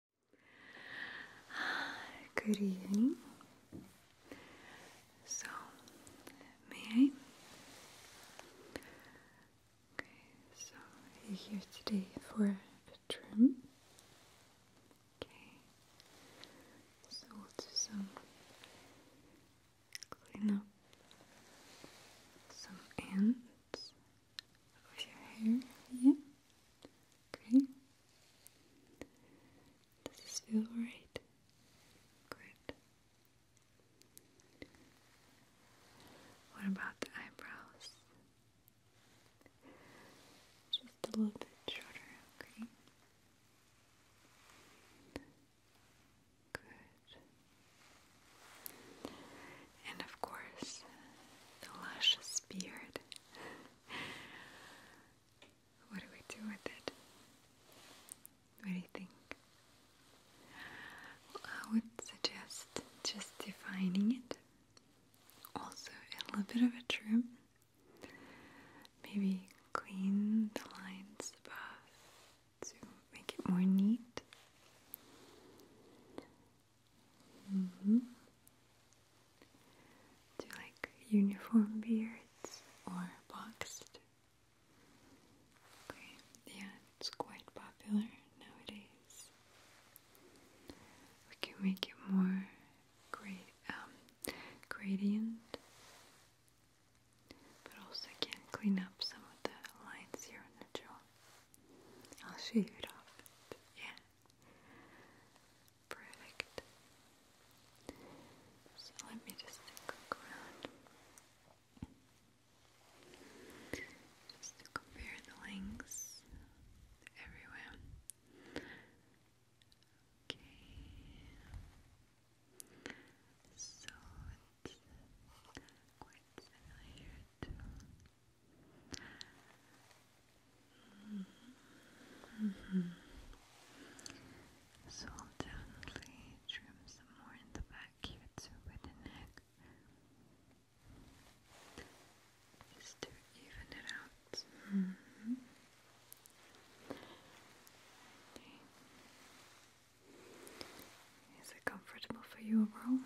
Good evening. So, may I? Okay, so you're here today for a trim. Okay, so we'll do some clean up some ends of your hair. Yeah. Okay. Does this feel right? Good. What about the eyebrows? Just a little bit shorter, okay? Good. And of course, the luscious beard. what do we do with it? What do you think? I would suggest just defining it. Also, a little bit of a trim. Maybe clean the lines above to make it more neat. Mm-hmm. Do like uniform beards or boxed? Okay, yeah, it's quite popular nowadays. We can make it more great, um, gradient, but also can clean up some of the lines here on the jaw. I'll shave it off. Yeah. Perfect. So let me just look around. Just to compare the links everywhere. Okay. So it's quite similar so definitely trim some more in the back, give it with the neck. Just to even it out. Mm-hmm. Is it comfortable for you overall?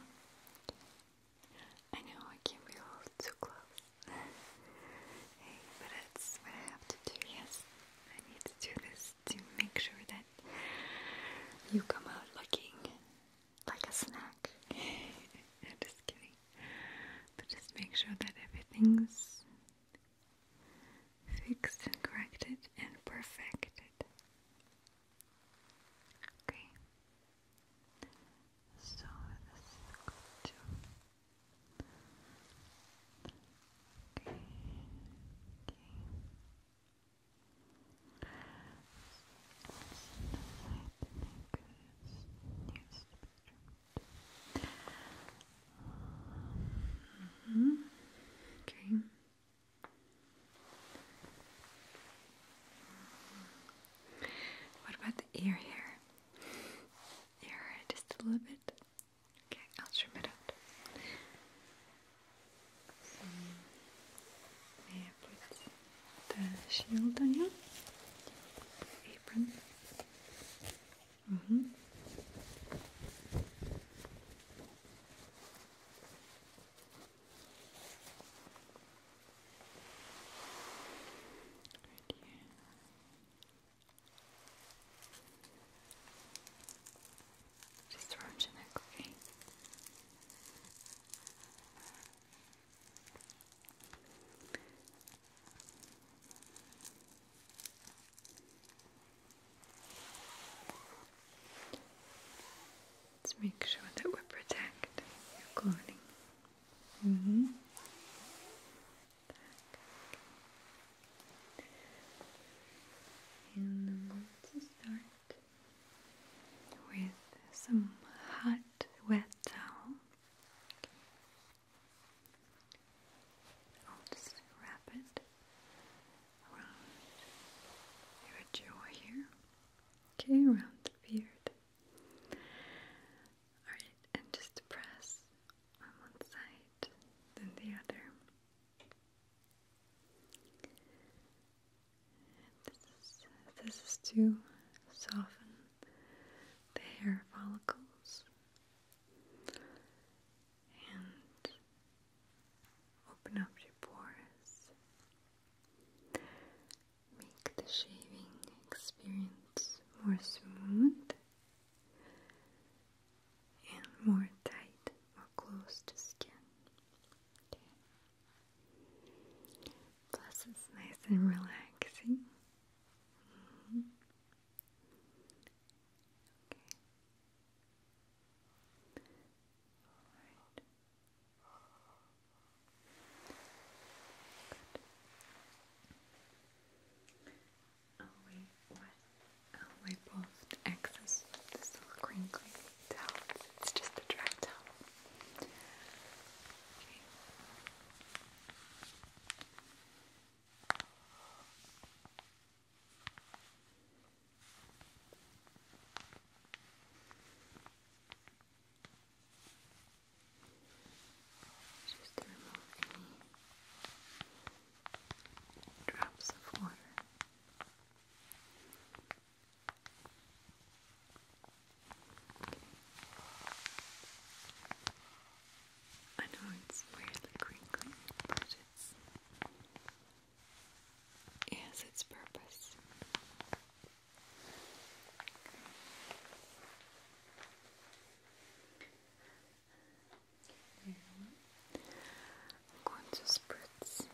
I know I came a little too close. but that's what I have to do. Yes, I need to do this to make sure that you come out looking like a snack. I'm just kidding. But just make sure that everything's fixed and corrected and perfected. Okay. So this is good too. Okay. Okay. Mm -hmm. Okay. What about the ear here? Your just a little bit. Okay, I'll trim it out. So, put the shield on you? Apron. Mm hmm just round your okay? Let's make sure that we protect your clothing. Mm-hmm. And I'm going to start with some hot, wet towel. I'll just wrap it around your jaw here. Okay, around the beard. Alright, and just press on one side, then the other. this is this is to soften the hair follicles and open up your pores make the shaving experience more smooth and more tight or close to skin. Plus, it's nice and relaxing. Mm-hmm. I'll wipe, what? excess this little crinkly towel. It's just a dry towel just to remove any drops of water. I know it's weirdly crinkly, but it's it its purpose. I'm going to spritz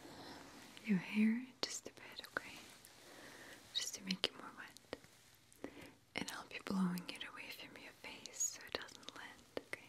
your hair just a bit, okay? Just to make it more wet. And I'll be blowing it away from your face so it doesn't land, okay?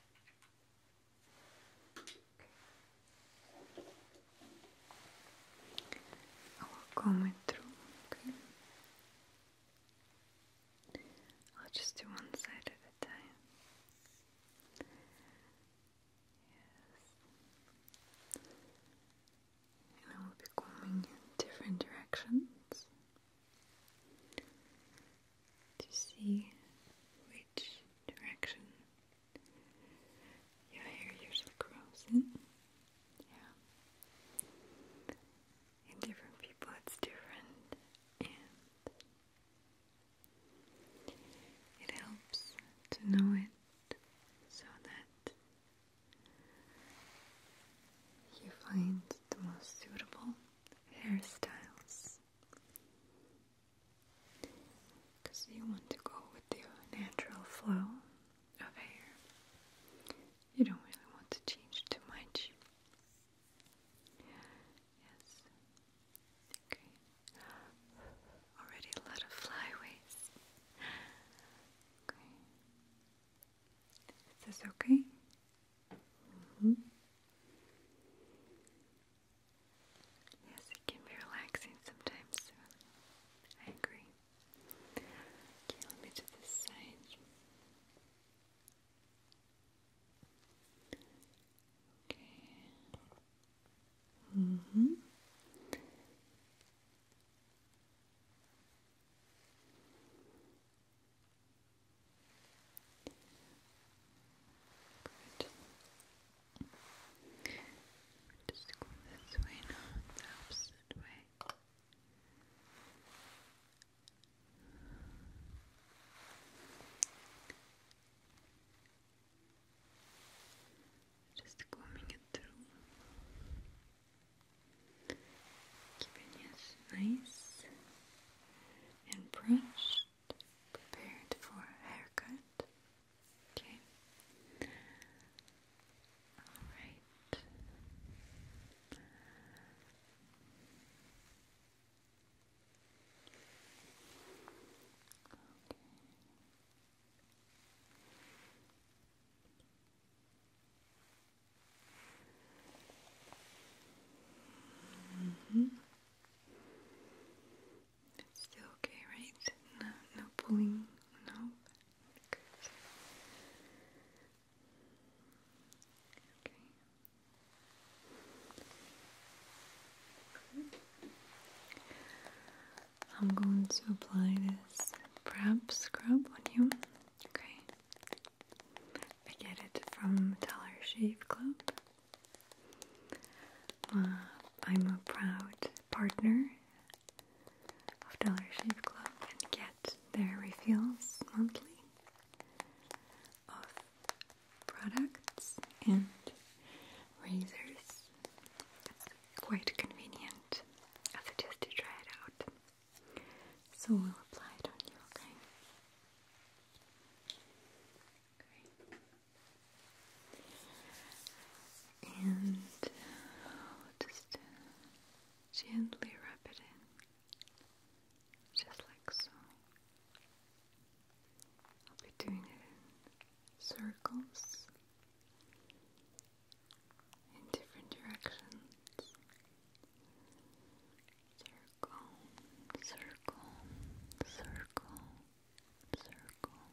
I will comb through, okay? I'll just do one side at a time. Yes. And I will be combing in different directions to see which direction your hair usually grows in. Yeah. In different people it's different and it helps to know it so that you find the most suitable hairstyles because you want to go with your natural flow of hair. You don't really want to change too much. Yes. Okay. Already a lot of flyaways. Okay. Is this okay? Mm -hmm. Yes, it can be relaxing sometimes. I agree. Okay, let me do this side. Okay. Mm hmm. Good. Just go this way now, the opposite way. Just combing it through, keeping it nice and brushed prepared for haircut. Okay. All right. Okay. Mm -hmm. It's still okay, right? No, no pulling, no. Good. Okay. I'm going to apply this prep scrub on you. Okay. I get it from Dollar Shave Club. Uh, I'm a proud partner of Dollar Shave Club and get their refills monthly of products and razors. quite convenient. I suggest you try it out. So we'll apply it on you, okay? And I'll just gently wrap it in, just like so. I'll be doing it in circles in different directions circle, circle, circle, circle,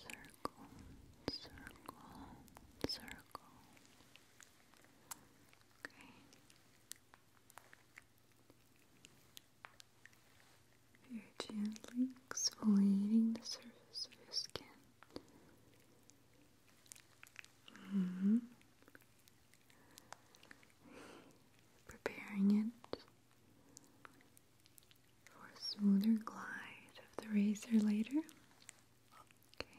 circle, circle, circle. Okay. you gently exfoliating the surface of your skin. Mm-hmm. Preparing it for a smoother glide of the razor later. Okay.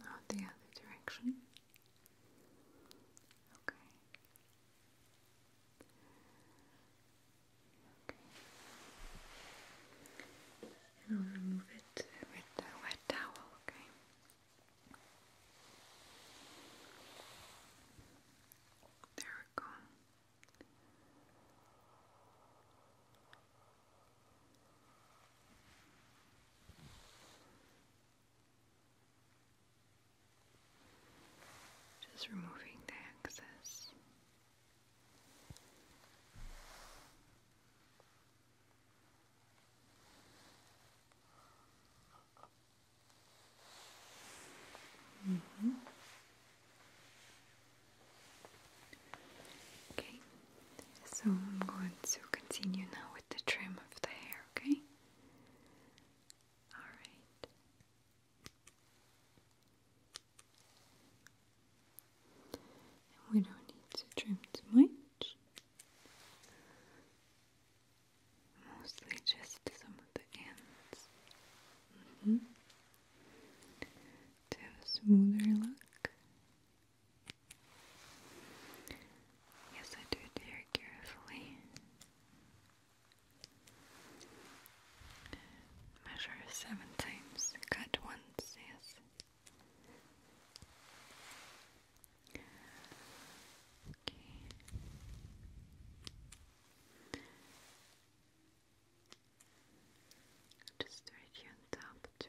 Now the other direction. Okay. Okay. And I'll remove it with the wet towel, okay? There we go. Just removing the excess. Mm -hmm. Okay, so I'm going to continue now with the trim of the hair, okay? Alright. We don't need to trim too much. Mostly just some of the ends. Mm-hmm. To have a smoother look. Yes, I do very carefully. Measure seven times, cut once, yes. Okay. Just on top too.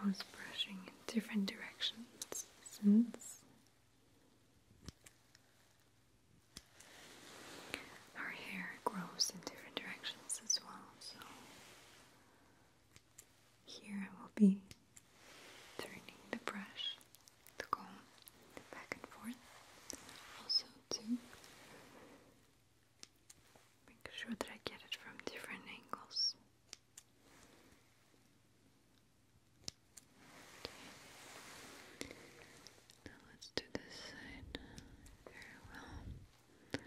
I was brushing in different directions since our hair grows in different directions as well, so here I will be turning the brush, the comb, back and forth, also to make sure that I get it from different angles. Now let's do this side very well.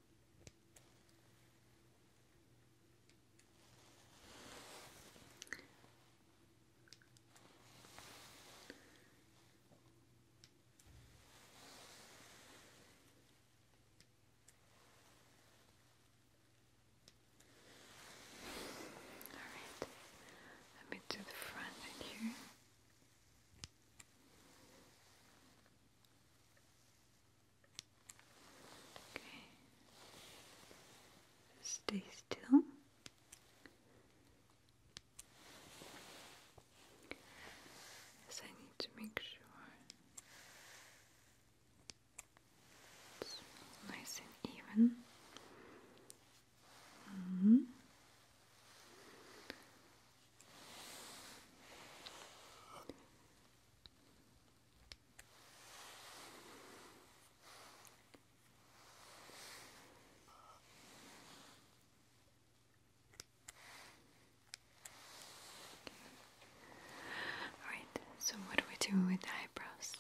Alright, let me do the front right here. Stay still. Yes, I need to make sure it's nice and even. -hmm. Alright, so what are we doing with the eyebrows?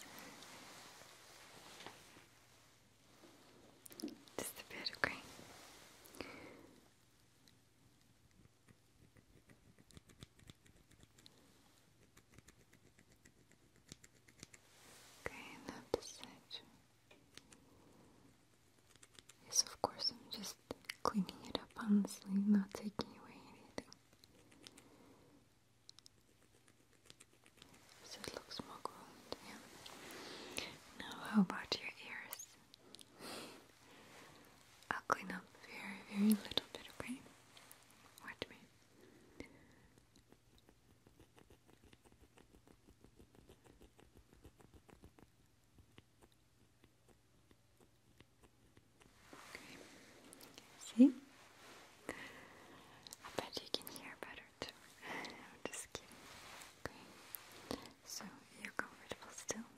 Just a bit of green. Okay, now this Yes, of course I'm just cleaning it up honestly, not taking away anything so it looks more groomed, yeah. Now how about your ears? I'll clean up very, very little bit, okay? Watch me. See? I bet you can hear better too. I'm just kidding. Okay. So you're comfortable still?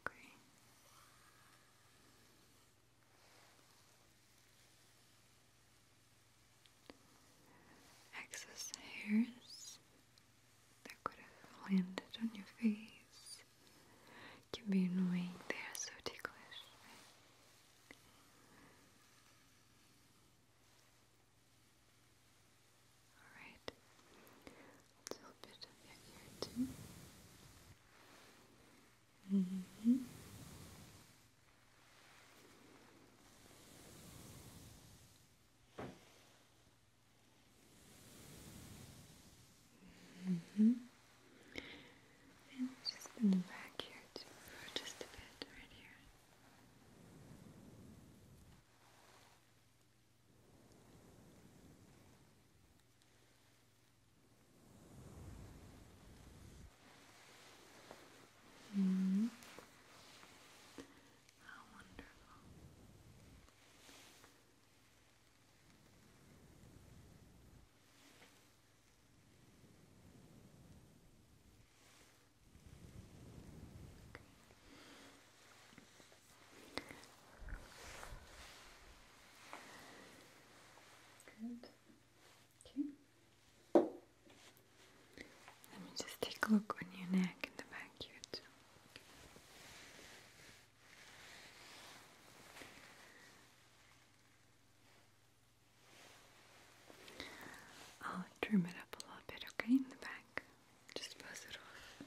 okay. Excess hairs that could have landed on your face can be annoying. They are so ticklish. Alright, a little bit of your ear too. Mm -hmm. -hmm. And just in the back here too, for just a bit, right here. Mm. Mm-hmm. How wonderful. Okay. Good. Okay. Let me just take a look on your neck and the back here too. I'll trim it up a little bit, okay, in the back. Just buzz it off.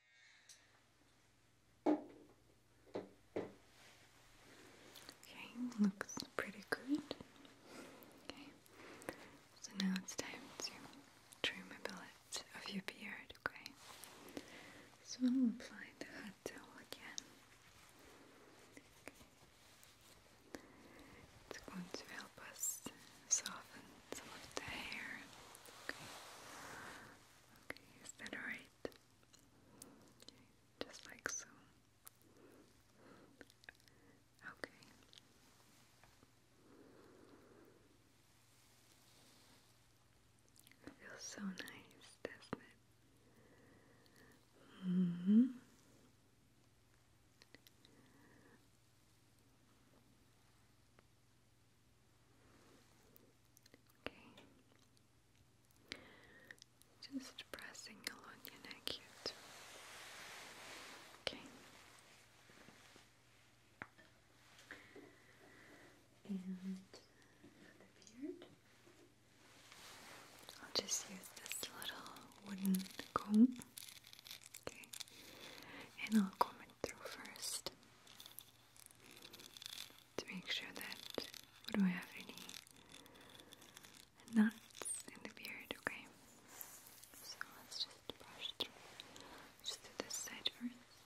Okay, looks pretty good. Okay, so now it's time to trim a bit of your beard, okay? So I'll apply the hot towel again. Okay. It's going to help us soften some of the hair. Okay. Okay, is that alright? just like so. Okay. It feels so nice, does -hmm. Okay. Just pressing along your neck here Okay. And the beard. I'll just use this little wooden comb. Okay. And I'll comb it through first to make sure that we don't have any knots in the beard, okay? So let's just brush through. Just do this side first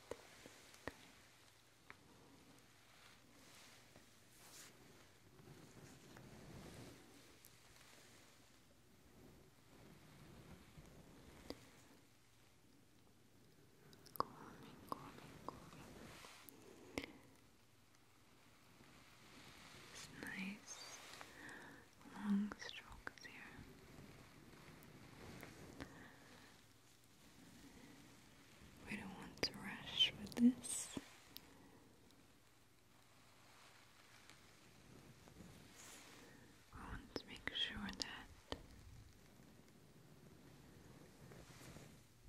nice long strokes here. We don't want to rush with this. I want to make sure that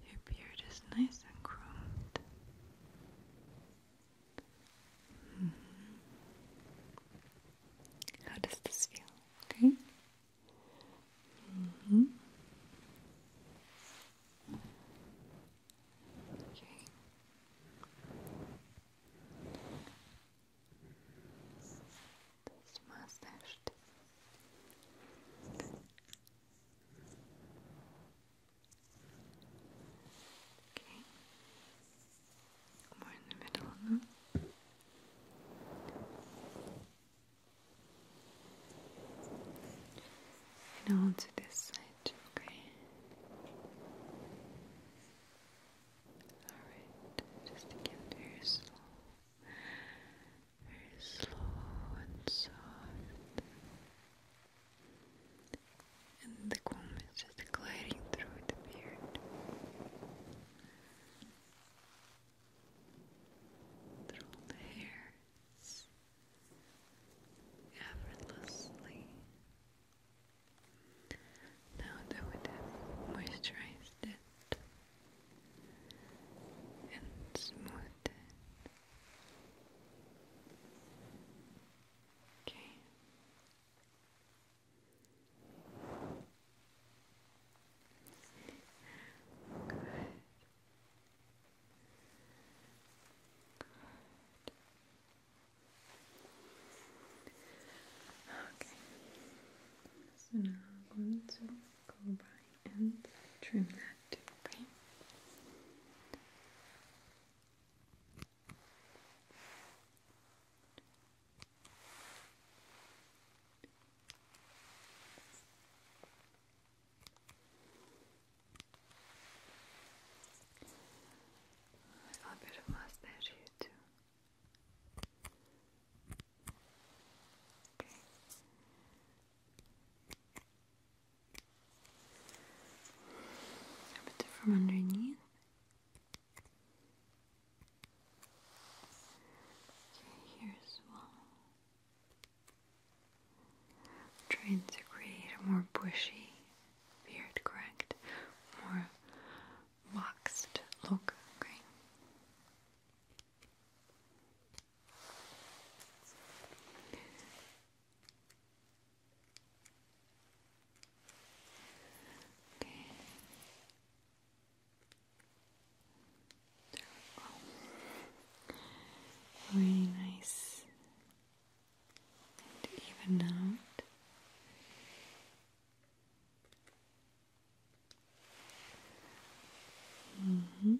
your beard is nice and groomed. Mm-hmm. How does this feel? Okay. Mm-hmm this mustache. Too. Okay, more in the middle now. And on this side, okay? Alright, just to very slow very slow and soft. And the comb is just gliding through the beard. Through the hairs. Effortlessly. Now that we have moisturized it, and smooth Okay. Okay. So now I'm going to go by and trim that too, A bit of mustache here too from underneath. Okay, here as well. i create a more bushy beard, correct? More waxed look, okay? Okay. There Really nice and even out. Mm-hmm.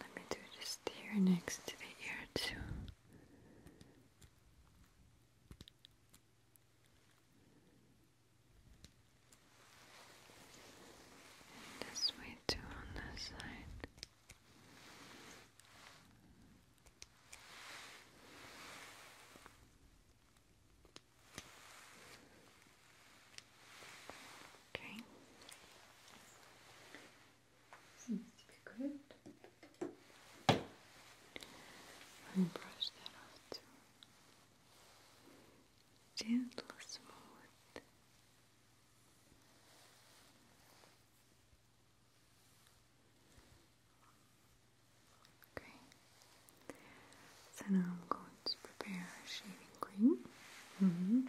Let me do just here next to the ear too. And this way too on this side. Okay. Seems to be good. Let me brush that off too. Gentle, smooth. Okay. So now I'm going to prepare shaving cream. -hmm.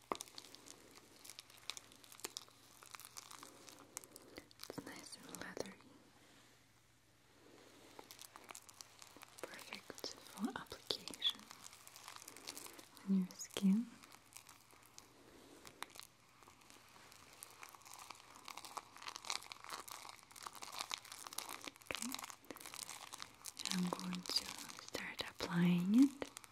It's nice and leathery. Perfect for application on your skin. Okay, I'm going to start applying it.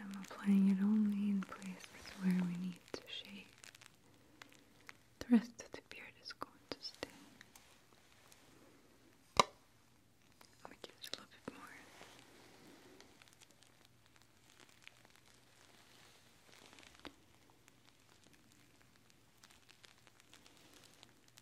And I'm applying it only in places where we need to shape. The rest of the beard is going to stay. Let me give it more.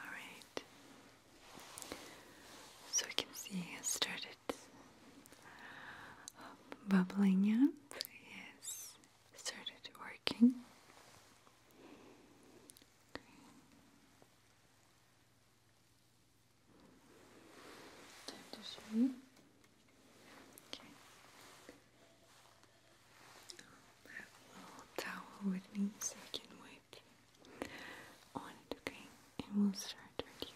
Alright, so you can see I started bubbling up, yes, started working. Time to show you. I'll a little towel with me so I can wipe on it, okay? And we'll start here.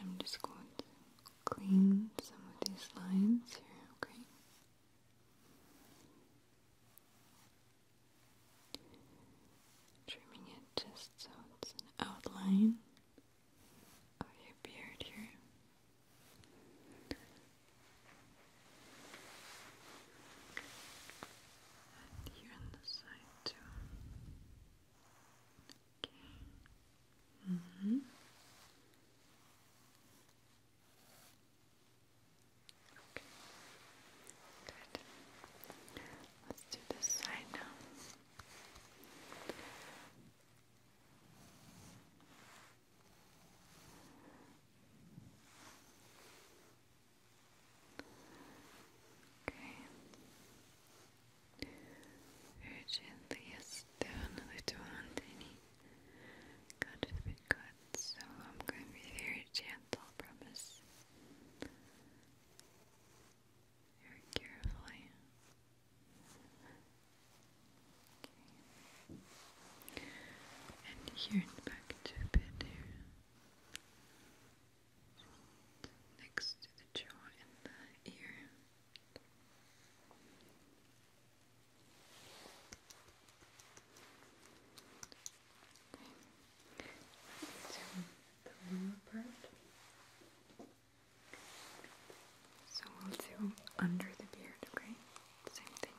I'm just going to clean some of these lines here, okay? Trimming it just so it's outline of your beard here. And here on the side too. Okay. Mm -hmm. Okay. Good. Let's do this side now. Okay. Urgently as down a little mountainy. God forbid God, so I'm going to be very gentle, promise. Very carefully. Okay. And here and back to a bit here. Next to the jaw and the ear. So we'll do under the beard, okay? Same thing.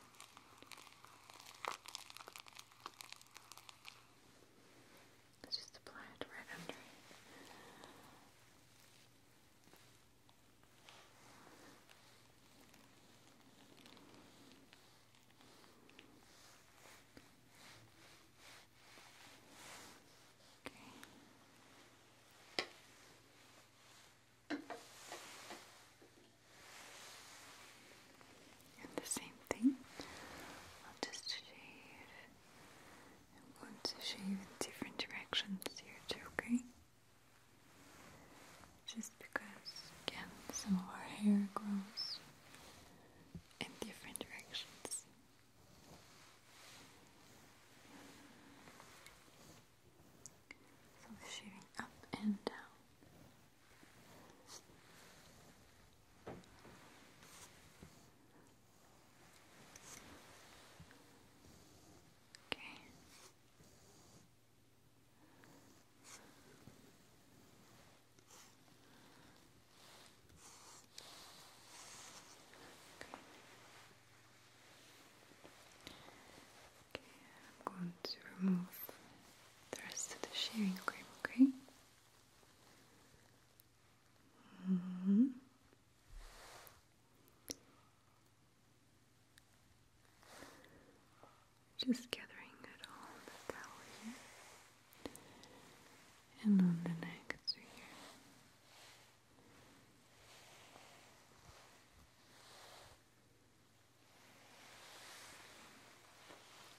Let's just apply it right under the same thing. I'll just shave. I'm going to shave in different directions here too, okay? Just because, again, some of our hair grows in different directions. So shaving up and down. Okay. Okay, I'm going to remove the rest of the shaving cream, okay? Mm-hmm. Just gathering it all on the towel here and on the neck here.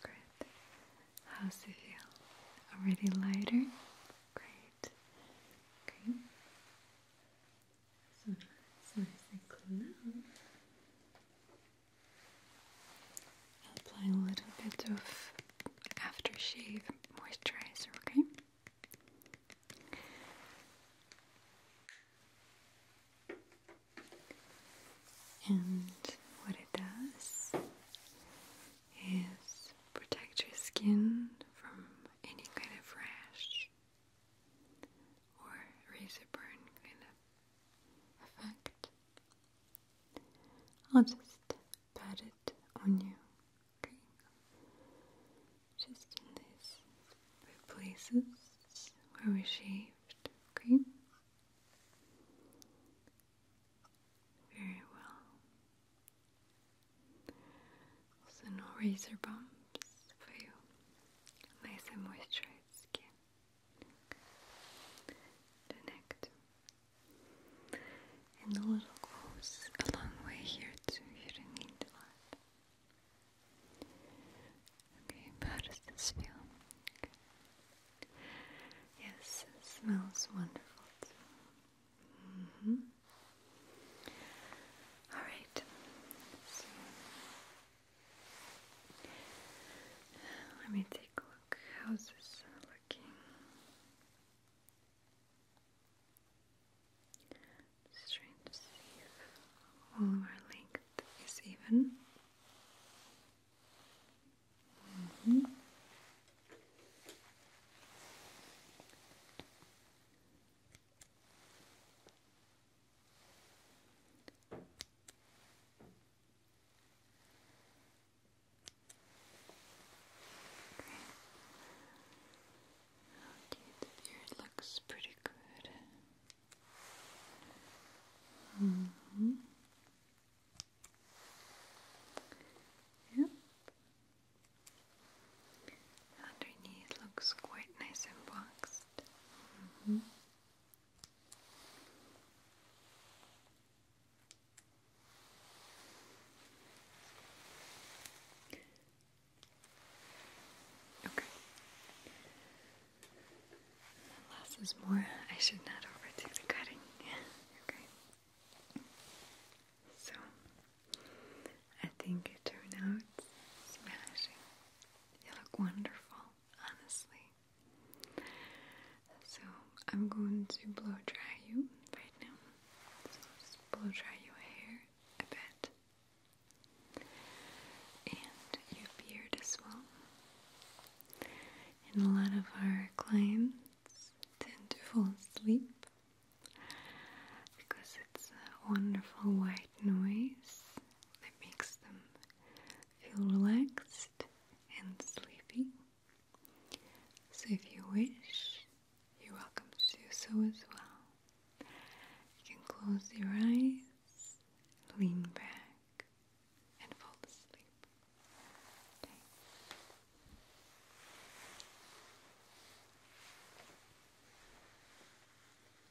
Great. How's it feel? Already lighter? Great. Okay that's nice and clean apply a little bit of aftershave moisturizer, okay? And what it does is protect your skin from any kind of rash or razor burn kind of effect. I'll just pat it on you, okay? Just in these places where we shaved, okay? Very well. Also no razor bumps for you. Nice and moisturized skin. The neck And the little goes a long way here too. You don't need a lot. Okay, how does this feel? Yes, smells wonderful all right. let me take a look. How's this looking? Just to see all of our length is even. Mm-hmm. Okay, the beard looks pretty good. Mm -hmm. Yep. Underneath looks quite nice and boxed. Mm-hmm. Okay. Less is more. I should not overdo the cutting. okay. So I think it turned out smashing. You look wonderful, honestly. So I'm going to blow dry you right now. blow dry your hair a bit. And your beard as well. And a lot of our clients tend to fall asleep because it's a wonderful white noise that makes them feel relaxed and sleepy. So, if you wish, you're welcome to do so as well. You can close your eyes, lean back, and fall asleep.